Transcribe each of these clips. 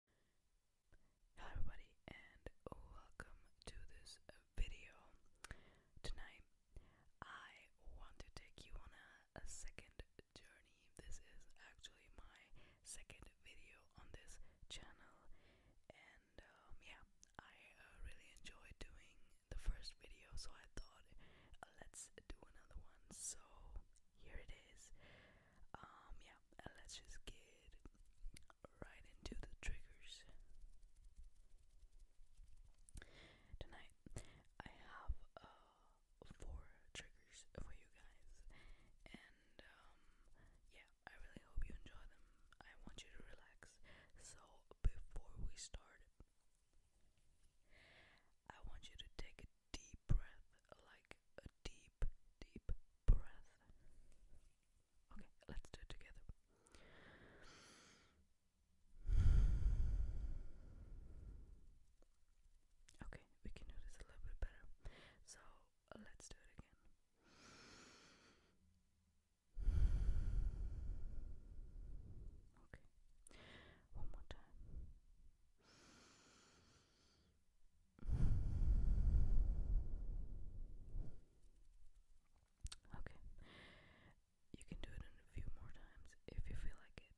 Hello everybody and welcome to this video. Tonight I want to take you on a, second journey. This is actually my second video on this channel and um, yeah, I uh, really enjoyed doing the first video so I thought uh, let's do another one. So here it is. Um yeah, let's just get right into the triggers. Tonight, I have uh, four triggers for you guys, and um, yeah, I really hope you enjoy them. I want you to relax. So, before we start, I want you to take deep breath, like a deep, deep breath. Okay, let's do it together. Okay, we can do this a little bit better. So let's do it again. Okay, one more time. Okay. You can do it a few more times if you feel like it.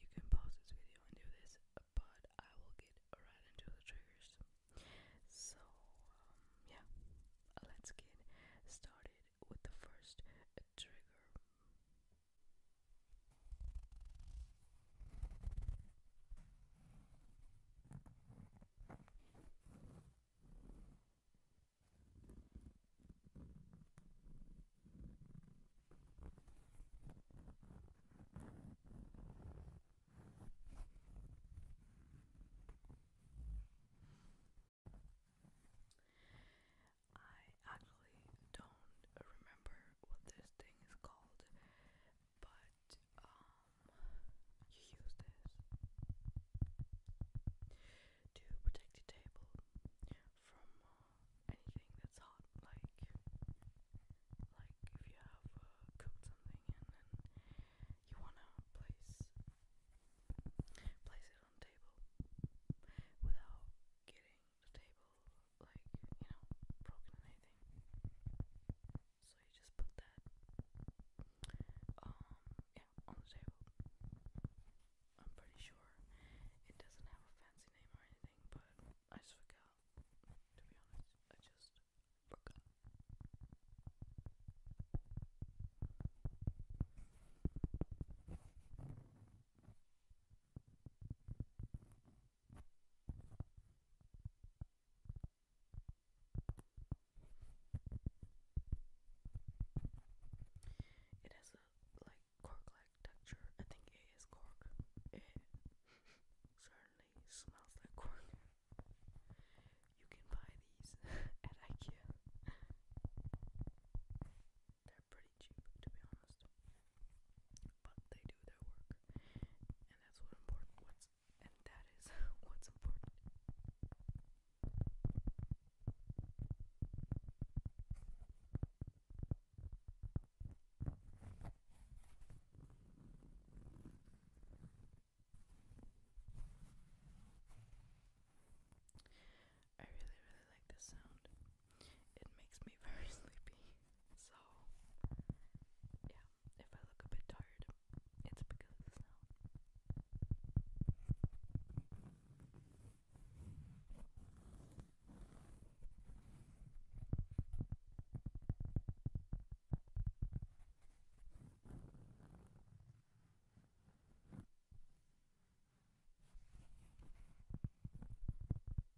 You can pause this video and do this, but I will get right into the triggers. So, um, yeah, let's get started with the first trigger. I actually don't remember what this thing is called, but um, you use this to protect your table from uh, anything that's hot, like like if you have uh, cooked something and you wanna place place it on table without getting the table like, you know, broken or anything. So you just put that um yeah, on the table. I'm pretty sure it doesn't have a fancy name or anything, but I just forgot. To be honest, I just forgot. It has a like cork-like texture. I think it is cork. It certainly smells like cork. You can buy these at IKEA. They're pretty cheap, to be honest but they do their work. And that's what important what's and that is what's important. I really, really like this sound it makes me very sleepy. So, yeah, if I look a bit tired, it's because of the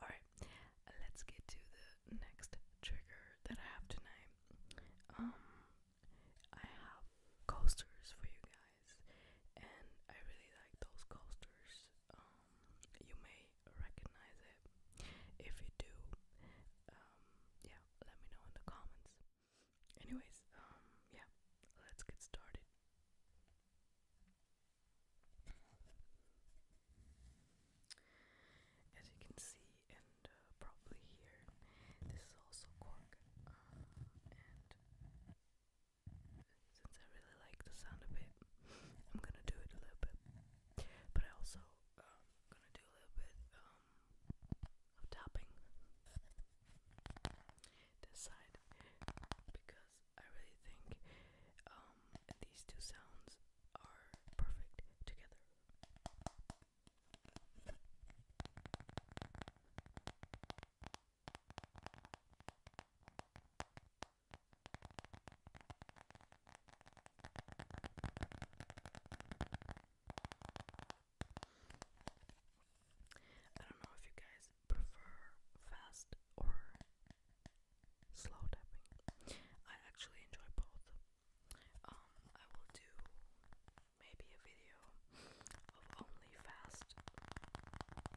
Alright, let's get to the next trigger that I have tonight. Um, I have coasters for you guys and I really like those coasters um, you may recognize it if you do um, yeah let me know in the comments anyways um, yeah let's get started as you can see and uh, probably here this is also cork uh, since I really like the sound of it, I'm gonna do it a little bit. But I also um, gonna do a little bit um, of tapping this side because I really think um, these two sounds are perfect together. I don't know if you guys prefer fast or slow tapping. I actually enjoy both. Um, I will do maybe a video of only fast tapping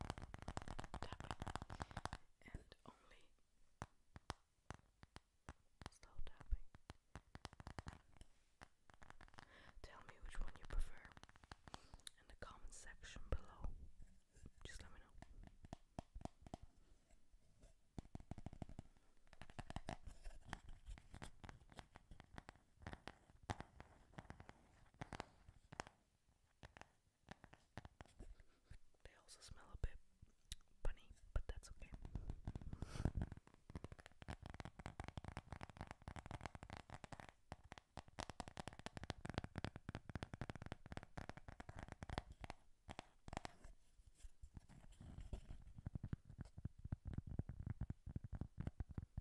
and only slow tapping. Tell me which one you prefer in the comment section below. Just let me know. They also smell a bit funny, but that's okay.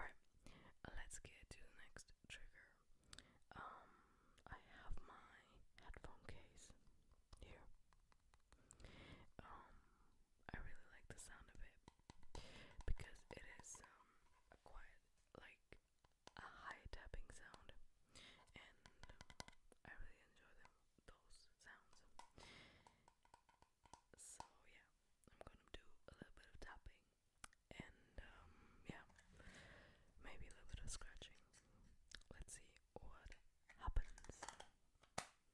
Alright, let's get to the next trigger. Um, I have my headphone case here. Um, I really like the sound of it because it is um, a quiet, like a high tapping sound, and I really enjoy those sounds. So yeah, I'm gonna do a little bit of tapping and um, yeah, maybe a little bit of scratching. Let's see what happens.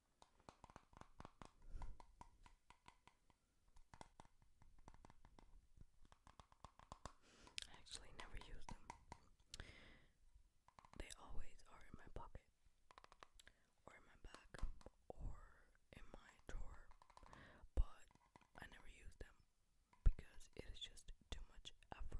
I actually never use them. They always are in my pocket, or in my bag, or in my drawer, but I never use them because it is just too much effort.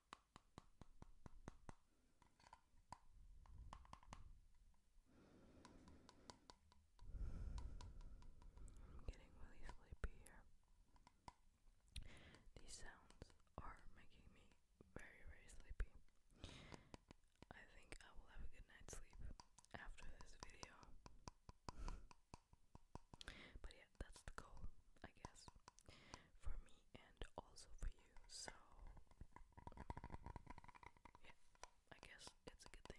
I'm getting really sleepy here. These sounds are making me very, very sleepy. I think I will have a good night's sleep after this video. But yeah, that's the goal, I guess, for me and also for you. So, yeah, I guess it's a good thing.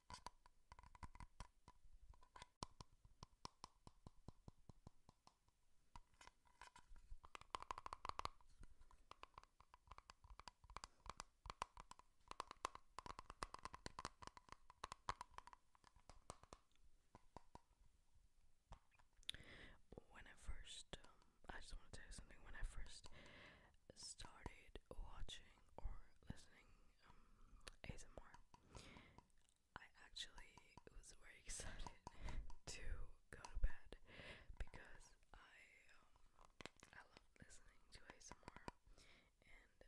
When I first, um, I just want to tell you something. When I first started watching or listening um, ASMR, I actually was very excited to go to bed because I um, I love listening to ASMR, and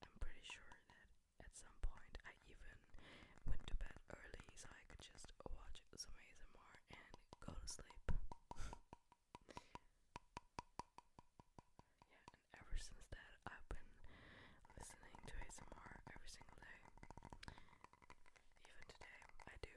I'm pretty sure that at some point I even went to bed early so I could just watch some ASMR and go to sleep. Yeah, and ever since that, I've been listening to ASMR every single day. Even today, I do.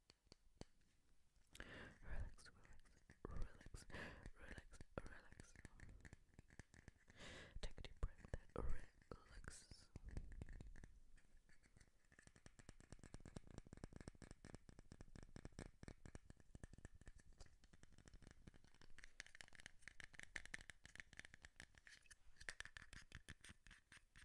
Relax, relax, relax, relax, relax. Take a deep breath that relaxes.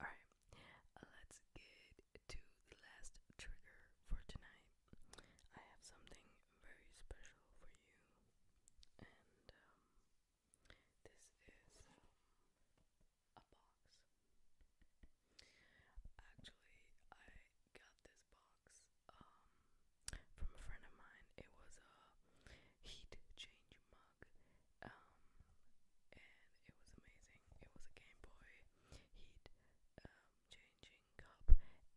Alright, let's get to the last trigger for tonight. I have something very special for you, and um, this is um, a box. Actually, I got this box um, from a friend of mine. It was a heat change mug, um, and it was amazing. It was a Game Boy heat um, changing cup,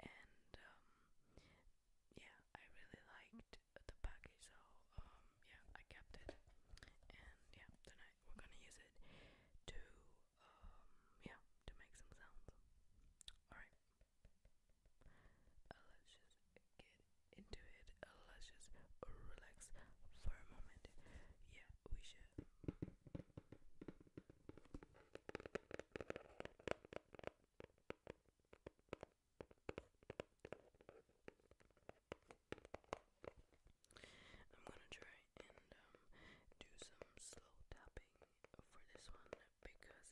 and um, yeah, I really liked the package, so um, yeah, I kept it, and yeah, tonight we're gonna use it to um, yeah, to make some sounds. All right. Uh, let's just get into it. Uh, let's just relax for a moment. Yeah, we should. I'm gonna try and um, do some slow tapping for this one because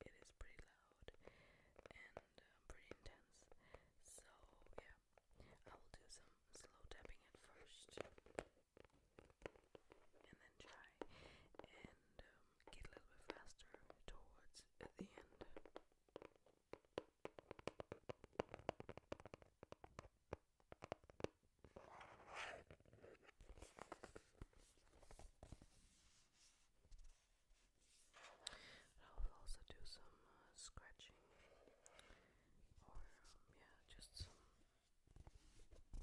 it is pretty loud and um, pretty intense. So yeah, I will do some slow tapping at first, and then try and um, get a little bit faster towards the end. I will also do some uh, scratching or, um, yeah, just something like that.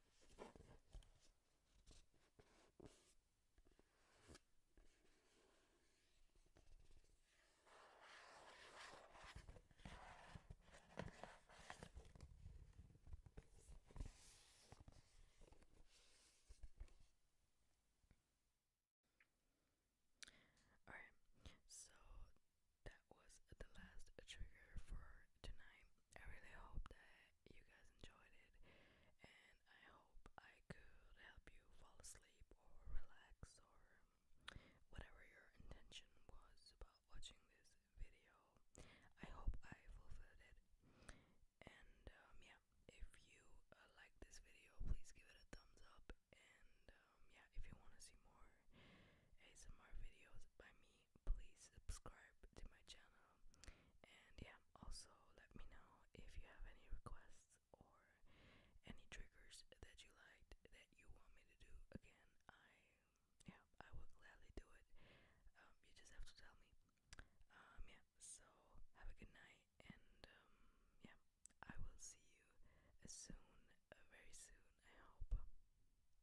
Alright, so that was the last trigger for tonight. I really hope that you guys enjoyed it, and I hope I could help you fall asleep or relax or whatever your intention was about watching this video. I hope I fulfilled it. And um, yeah, if you uh, liked this video, please give it a thumbs up. And um, yeah, if you want to see more ASMR videos by me, me please subscribe to my channel and yeah also let me know if you have any requests or any triggers that you liked that you want me to do again i yeah i will gladly do it um, you just have to tell me um, yeah so have a good night and um, yeah i will see you soon uh, very soon i hope